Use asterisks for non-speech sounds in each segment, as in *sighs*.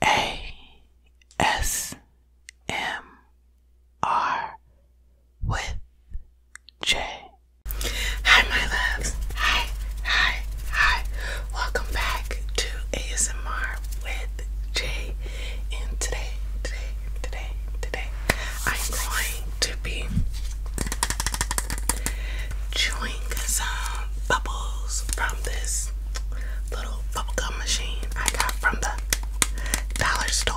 ASMR with Jay. Hi, my loves. Hi, hi, hi. Welcome back to ASMR with Jay. And today, today, today, today, I'm going to be chewing some bubbles from this little bubble gum machine I got from the dollar store.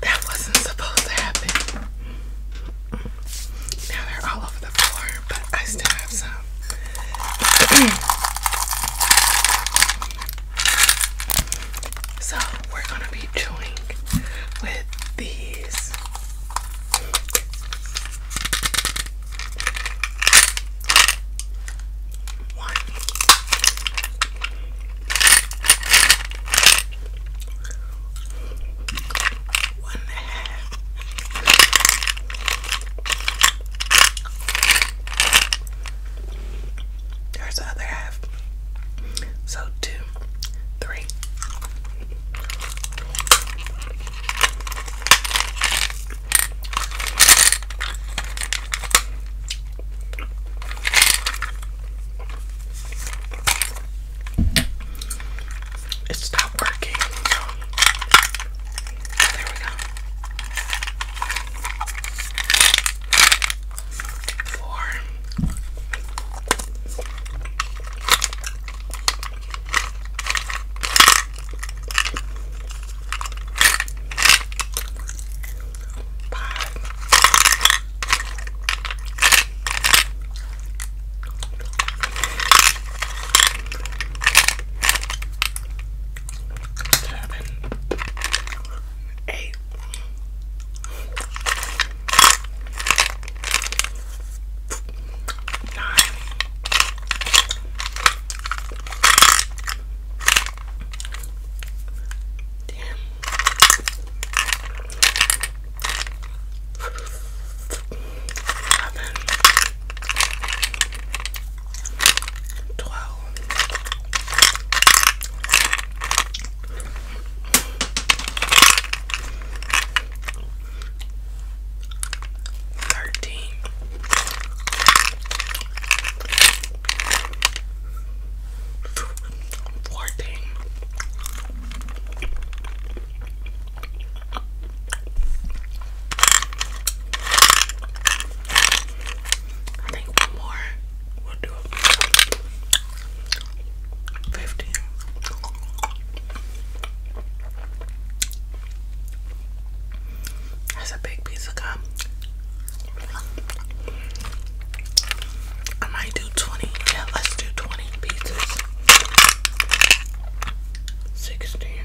That wasn't supposed to happen. Now they're all over the floor, but I still have some. *clears throat* So we're gonna be chewing with these. One. One and a half. There's the other half. So two, three. It stopped working. There we go four, five, seven. Hey. Nine. Damn. Eleven. Twelve. Thirteen. Fourteen. I think one more we Fifteen. That's a big piece of gum. I might do twenty. Yeah, let's do twenty pieces. Sixteen.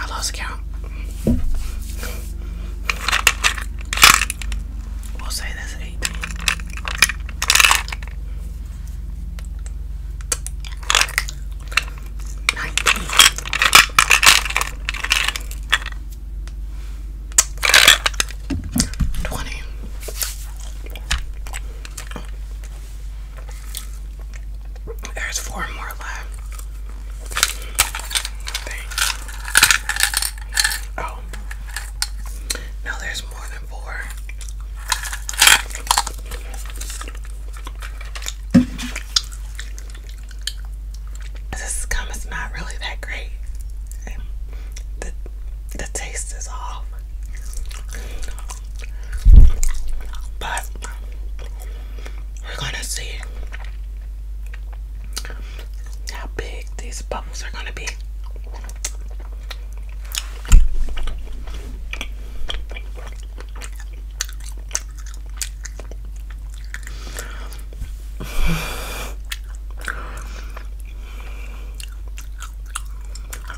I lost count. We'll say that's 18. Nineteen. There's four more left. Oh. No, there's more than four. This gum is not really that great. The, the taste is off. But we're gonna see how big these bubbles are gonna be.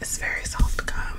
It's very soft gum.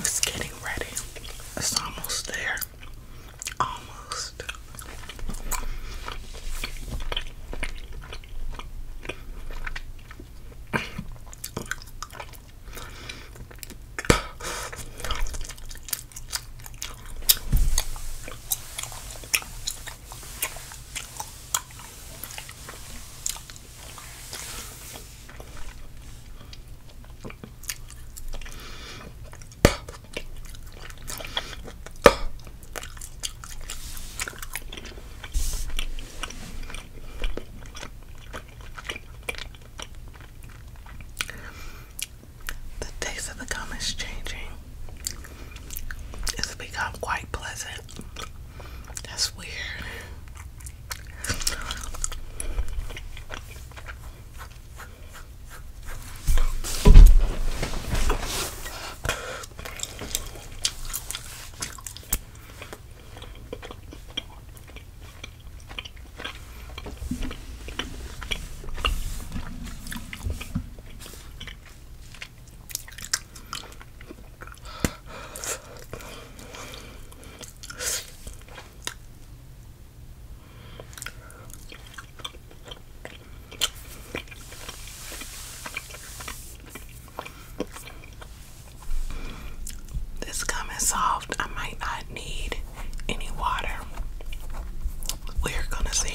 It's getting ready. It's almost there. Almost. The taste of the gum is changing it's become quite pleasant. That's weird. This gum is soft. I might not need any water. We're gonna see.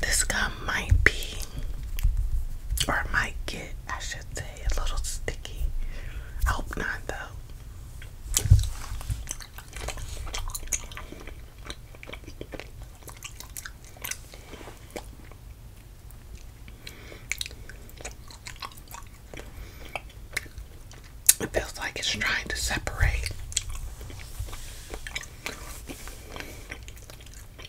This gum might be, or might get, I should say, a little sticky. I hope not, though. It feels like it's trying to separate.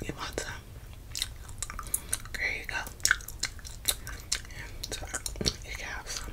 You want some? There you go. And so you have some.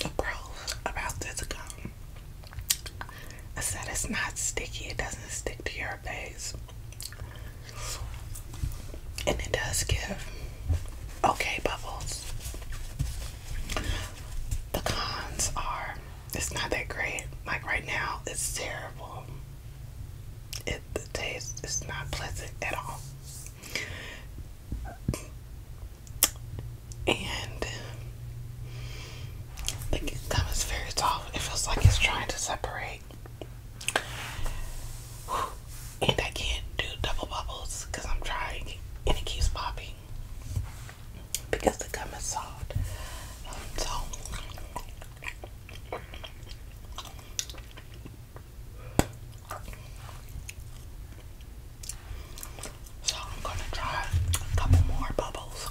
The pros about this gum is that it's not sticky, it doesn't stick to your face and it does give okay bubbles. The cons are it's not that great. Like right now, it's terrible. It the taste is not pleasant at all. And the gum very soft. It feels like it's trying to separate *sighs* and I can't do double bubbles because I'm trying and it keeps popping because the gum is soft. so I'm gonna try a couple more bubbles.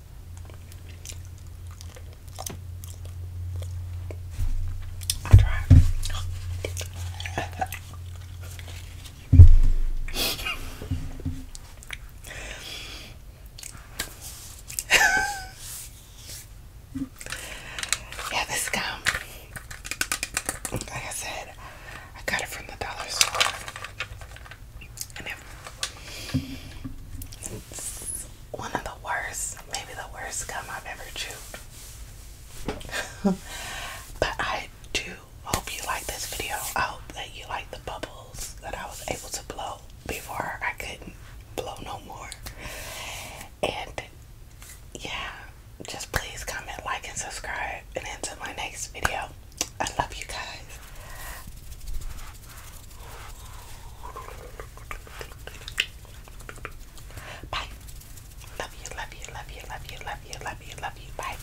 I try. yeah, this gum. Like I said, I got it from the dollar store one of the worst, maybe the worst gum I've ever chewed. *laughs* but I do hope you like this video. I hope that you like the bubbles that I was able to blow before I couldn't blow no more. And yeah, just please comment, like, and subscribe. And until my next video, I love you guys. Bye. Love you, love you, love you, love you, love you, love you, love you. Bye.